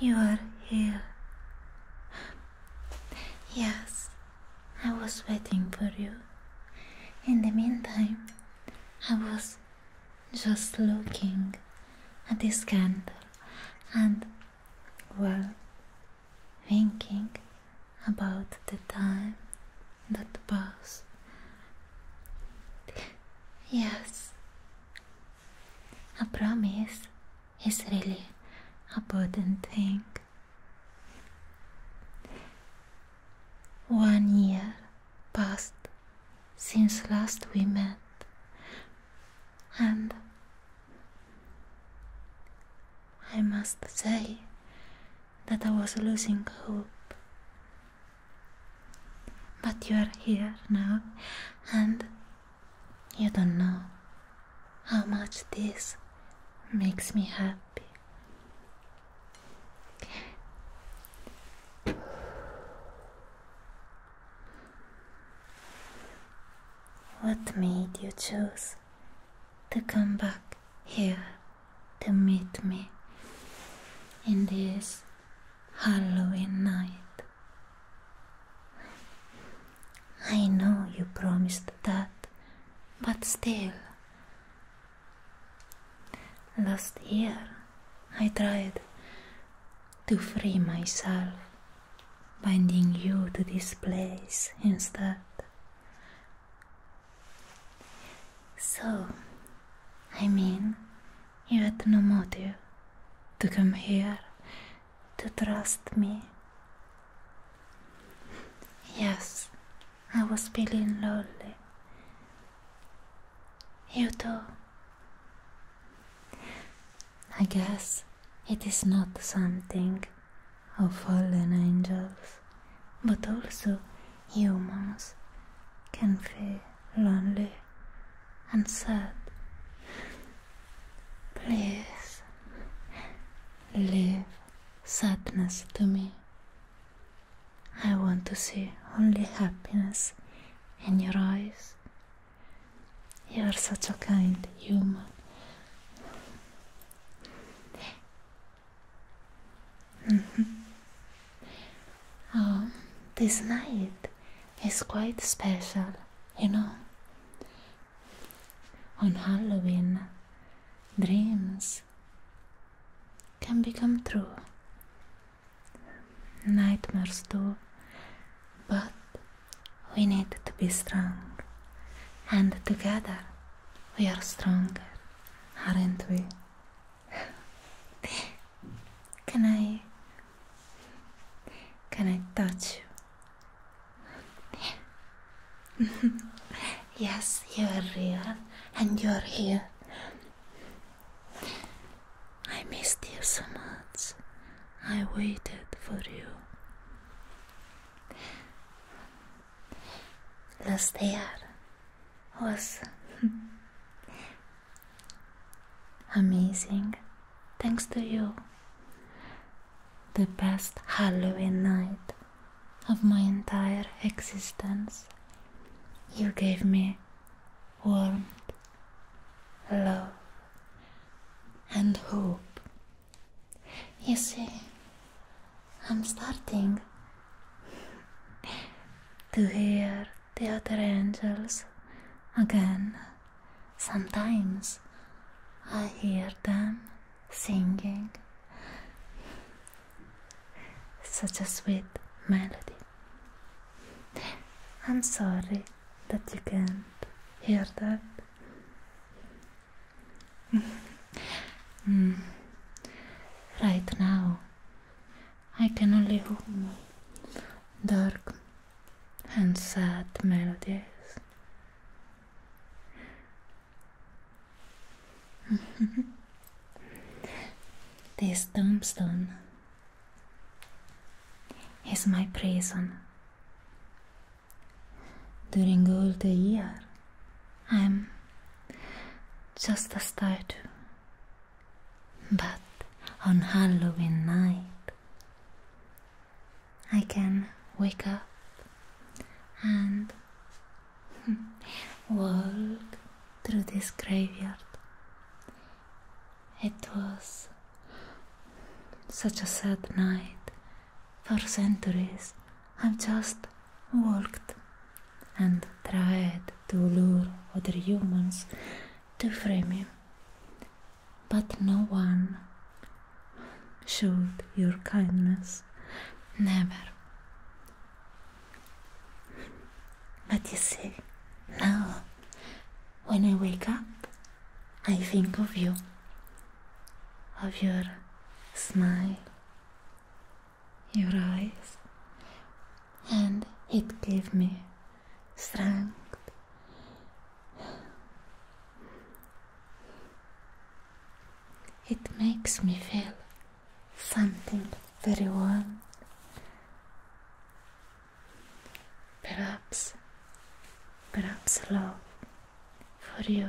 You are here. Yes, I was waiting for you. In the meantime, I was just looking at this candle and, well, thinking about the time that passed. Yes, a promise is really a important thing. One year passed since last we met, and I must say that I was losing hope. But you are here now, and you don't know how much this makes me happy. What made you choose to come back here to meet me in this Halloween night? I know you promised that, but still, Last year I tried to free myself, binding you to this place instead. So, I mean, you had no motive to come here to trust me. Yes, I was feeling lonely. You too. I guess it is not something of fallen angels, but also humans can feel lonely and sad. Please leave sadness to me. I want to see only happiness in your eyes. You are such a kind human. Mm-hmm. Um, this night is quite special, you know. On Halloween, dreams can become true. Nightmares do, but we need to be strong, and together we are stronger, aren't we? can I? Can I touch you? yes, you are real, and you are here. I missed you so much. I waited for you. Last year was amazing thanks to you. The best Halloween night of my entire existence. You gave me warmth, love, and hope. You see, I'm starting to hear the other angels again. Sometimes I hear them singing. Such a sweet melody. I'm sorry that you can't hear that. Hmm. Right now, I can only hum dark and sad melodies. this tombstone is my prison. During all the year, I'm just a statue. But on Halloween night, I can wake up and walk through this graveyard. It was such a sad night. For centuries, I've just walked and tried to lure other humans to frame you. But no one showed your kindness. Never. But you see, now when I wake up, I think of you, of your smile, your eyes, and it gives me strength. It makes me feel something very warm. Perhaps, perhaps love for you.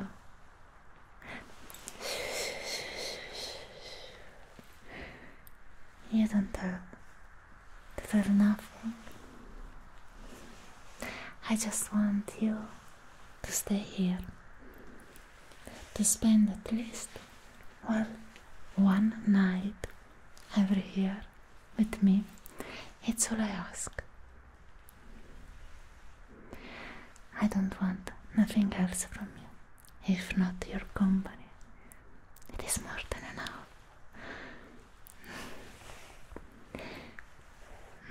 You don't have to feel nothing. I just want you to stay here to spend at least one, one night every year with me. It's all I ask. I don't want nothing else from you, if not your company. It is more than enough.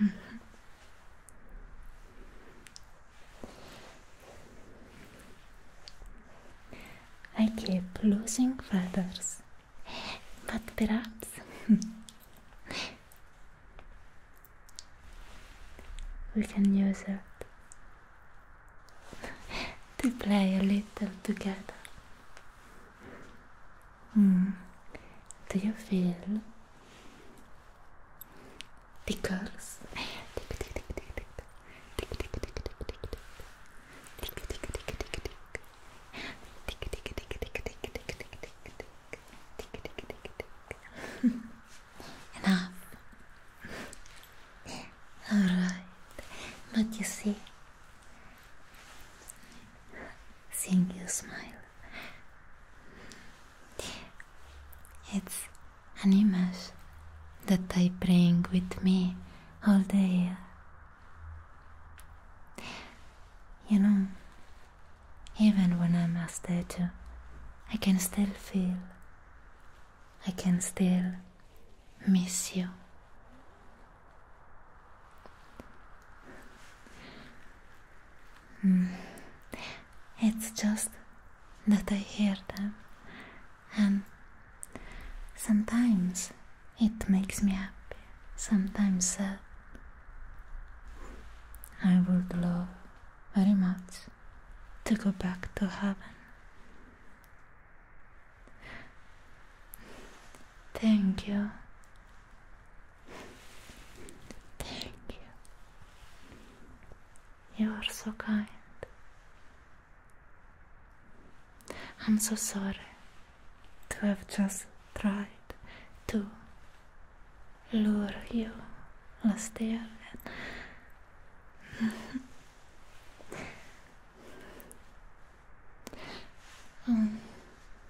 Mm-hmm. I keep losing feathers, but perhaps we can use it to play a little together. Hmm. Do you feel the curls. Enough. All right, but you see, seeing you smile it's an image that I bring with me all the year. You know, even when I'm a statue, I can still feel, I can still miss you. Mm. It's just that I hear them, and sometimes it makes me happy, sometimes uh, I would love very much to go back to heaven. Thank you Thank you. You are so kind. I'm so sorry to have just tried to lure you last year.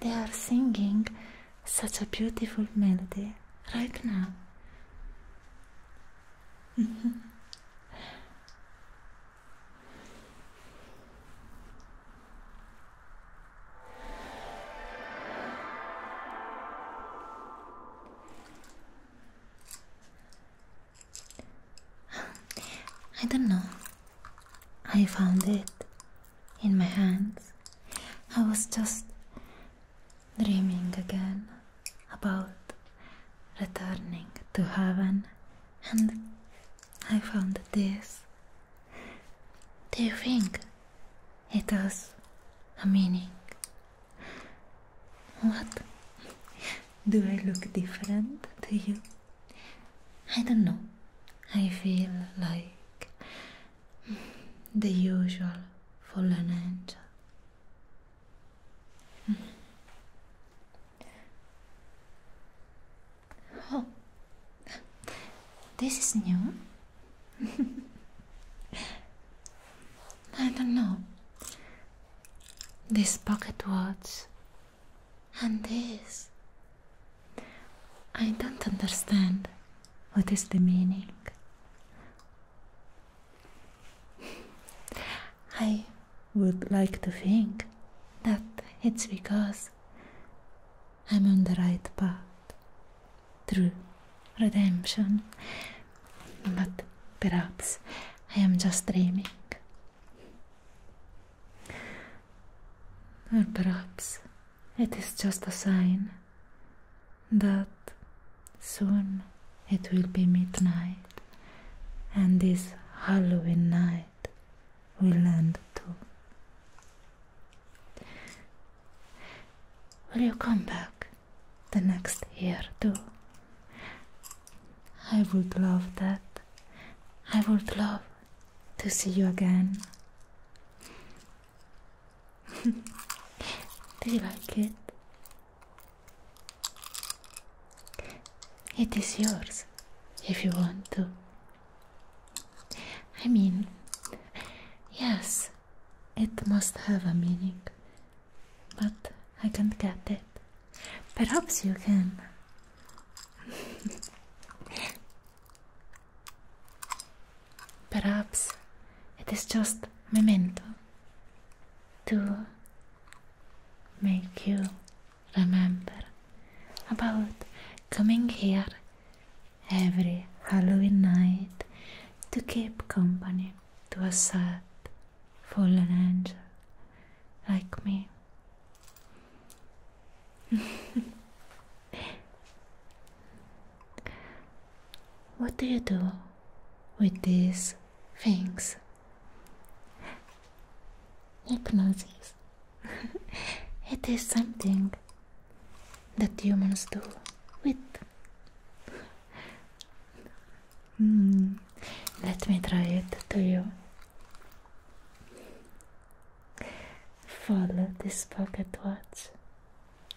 They are singing such a beautiful melody right now. I don't know. I found it in my hands. I was just dreaming again about returning to heaven, and I found this. Do you think it has a meaning? What? Do I look different to you? I don't know. I feel like the usual fallen angel. Hmm. Oh, this is new. I don't know. This pocket watch and this I don't understand what is the meaning. I would like to think that it's because I'm on the right path through redemption, but perhaps I am just dreaming. Or perhaps it is just a sign that soon it will be midnight and this Halloween night will end too. Will you come back the next year too? I would love that. I would love to see you again. Do you like it? It is yours if you want to. I mean, yes, it must have a meaning, but I can't get it. Perhaps you can. Perhaps it is just memento to make you remember about coming here every Halloween night to keep company to a sad fallen angel like me. Mm. what do you do with these things? Hypnosis. it is something that humans do with. Hmm. Let me try it to you. Follow this pocket watch.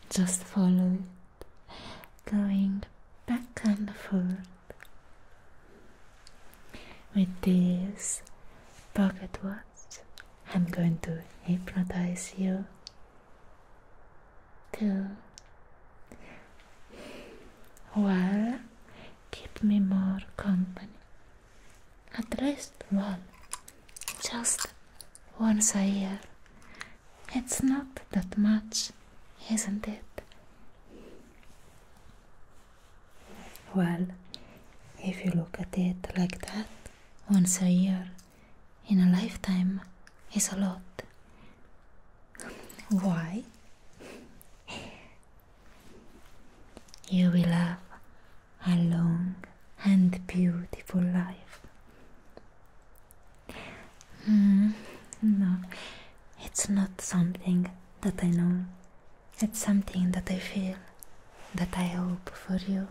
Just follow it, going back and forth. With this pocket watch, I'm going to hypnotize you To, well, keep me more company at least one, just once a year. It's not that much, isn't it? Well, if you look at it like that, once a year in a lifetime is a lot. Why? You will have a long and beautiful life. Hmm, no, it's not something that I know, it's something that I feel, that I hope for you.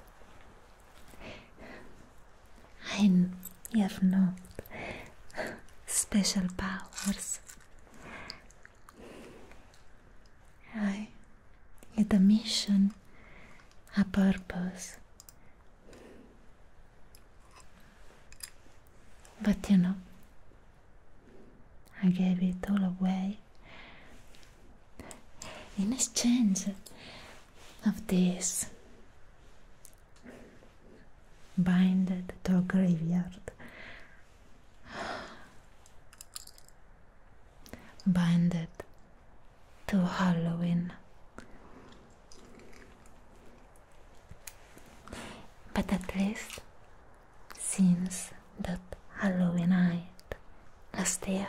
I have no special powers. I had a mission, a purpose. But you know, I gave it all away in exchange of this binded to a graveyard binded to Halloween. But at least, since that Halloween night last year,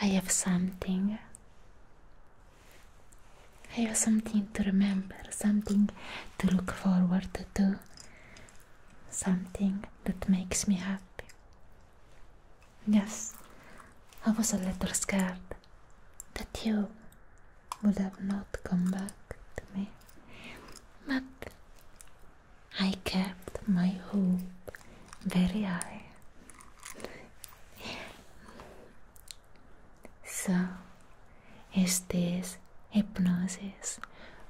I have something. I have something to remember, something to look forward to something that makes me happy. Yes, I was a little scared that you would have not come back to me, but I kept my hope very high. So, is this hypnosis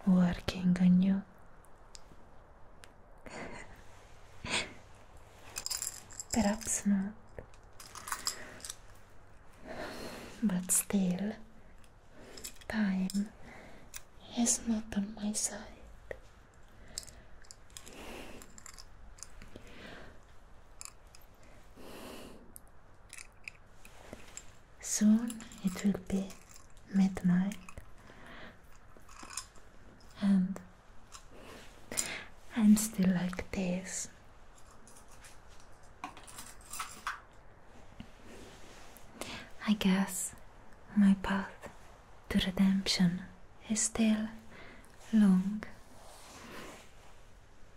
working on you? Perhaps not. But still, time is not on my side. Soon it will be midnight, and I'm still like this. I guess my path to redemption is still long.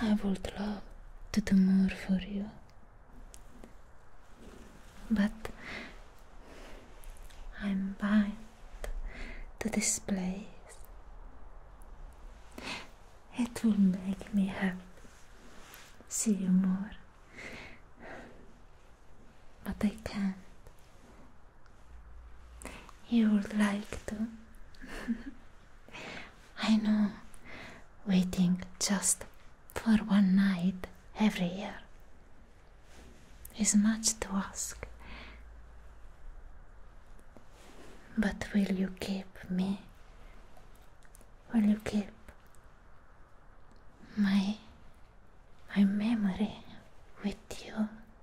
I would love to do more for you, but I'm bound to this place. It will make me happy. See you more, but I can't you would like to? I know, waiting just for one night every year is much to ask. But will you keep me? Will you keep my my memory with you?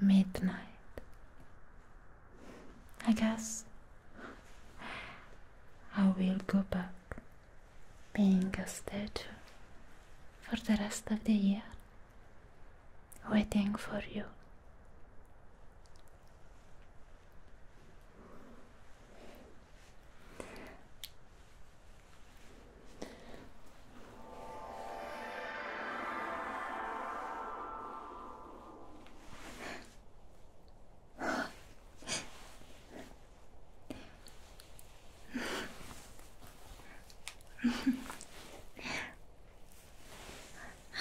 midnight. I guess I will go back being a statue for the rest of the year, waiting for you.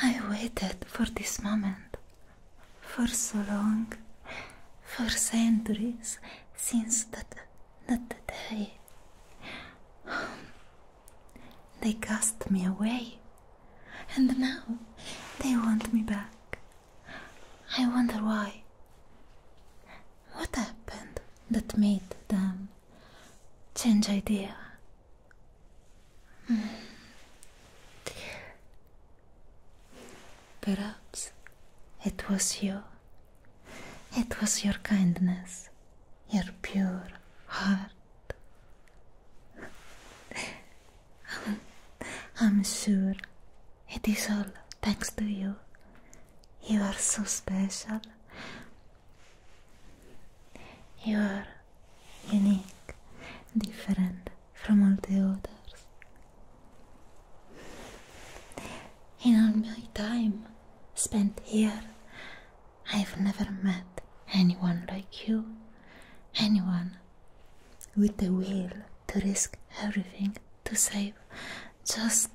I waited for this moment for so long, for centuries since that, that day. They cast me away, and now they want me back. I wonder why. What happened that made them change idea? Hmm. Perhaps it was you. It was your kindness your pure heart. I'm sure it is all thanks to you. You are so special. You are unique, different from all the others. In all my time spent here, I've never met anyone like you, anyone with the will to risk everything to save just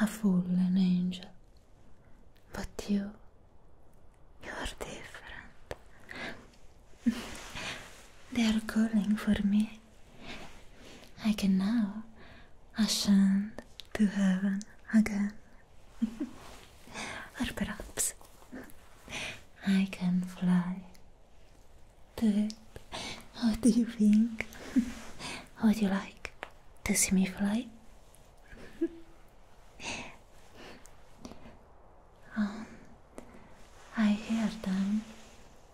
a fallen angel. But you, you are different. they are calling for me. I can now ascend to heaven again. or perhaps I can fly. But how do you think? Would you like to see me fly? Um, I hear them.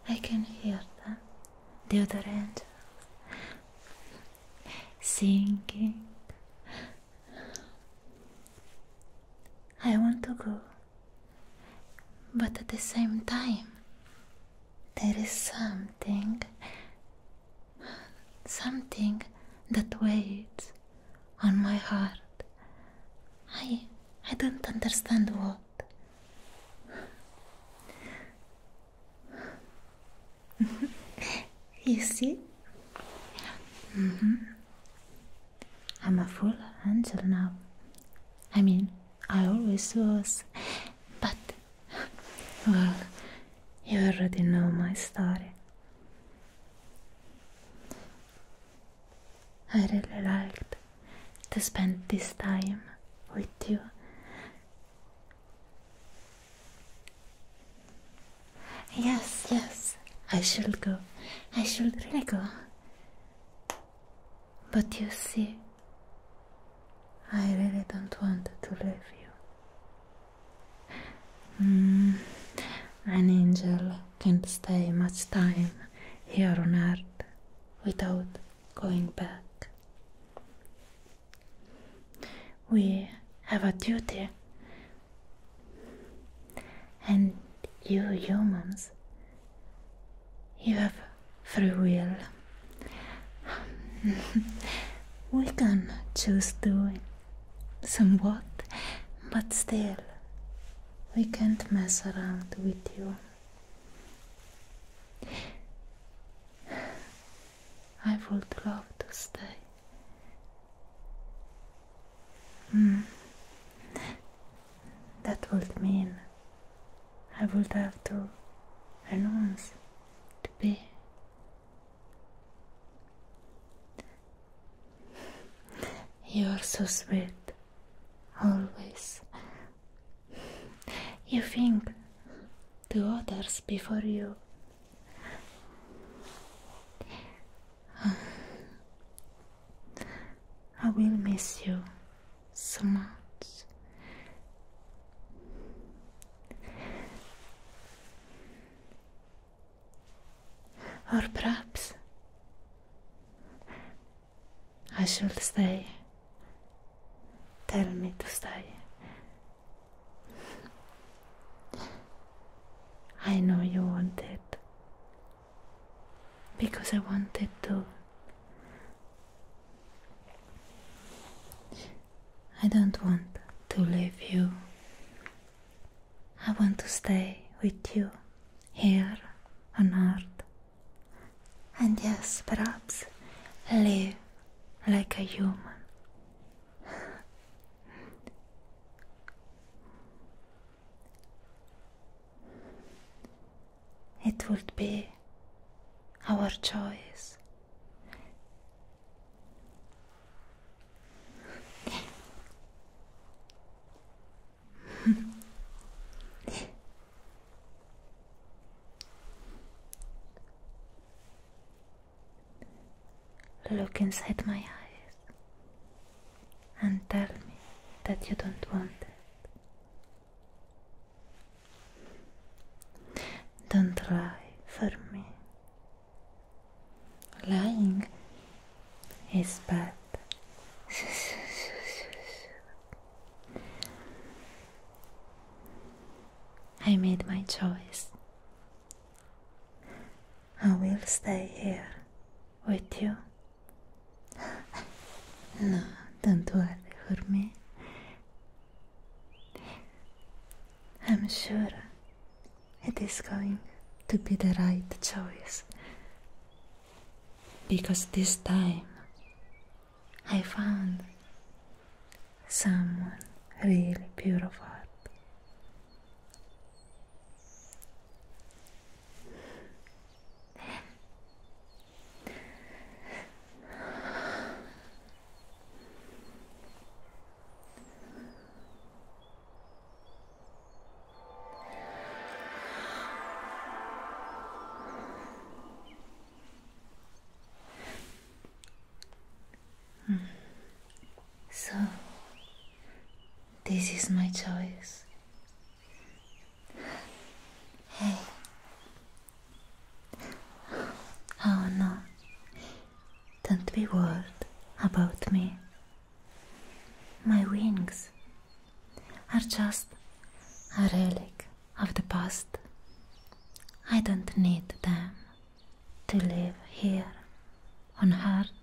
I can hear them. The other end. Sinking. I want to go, but at the same time, there is something, something that waits on my heart. I, I don't understand what. you see? Mm-hmm. I'm a fool until now. I mean, I always was. But, well, you already know my story. I really liked to spend this time with you. Yes, yes, I shall go. I shall really go. But you see, I really don't want to leave you. Mm, an angel can't stay much time here on earth without going back. We have a duty, and you humans, you have free will. we can choose to somewhat, but still, we can't mess around with you. I would love to stay. Hmm. That would mean I would have to announce to be. You're so sweet, always. You think to others before you. I will miss you so much. Or perhaps I should stay. Tell me to stay. I know you want it because I want it too. I don't want to leave you. I want to stay with you here on earth. And yes, perhaps live like a human. It would be our choice. Look inside my eyes and tell me that you don't want it. Don't lie for me. Lying is bad. I made my choice. I will stay here with you. no, don't worry for me. I'm sure it is going to be the right choice. Because this time I found someone really beautiful. So, this is my choice. Hey. Oh no. Don't be worried about me. My wings are just a relic of the past. I don't need them to live here on earth,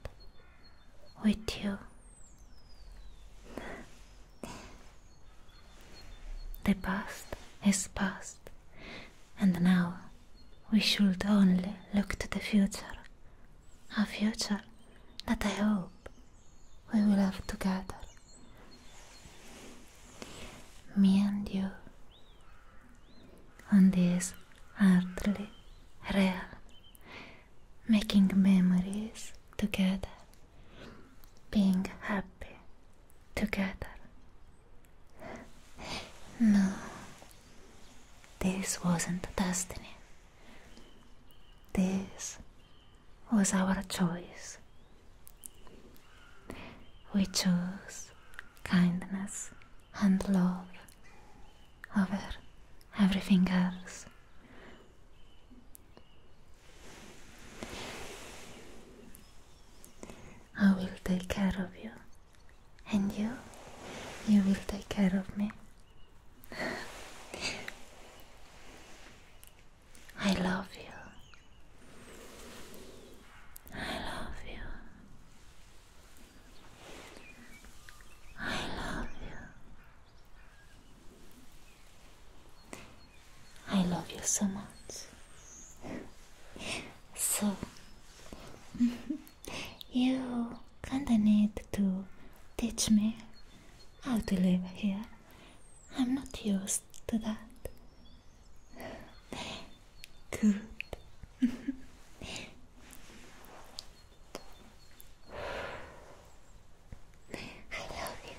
with you. The past is past, and now we should only look to the future, a future that I hope we will have together me and you on this earthly realm, making memories together, being happy together. No, this wasn't destiny. This was our choice. We chose kindness and love over everything else. I will take care of you, and you, you will take care of me. I love you. I love you. I love you. I love you so much. So, you kinda need to teach me how to live here. I'm not used to that. Good. I love you.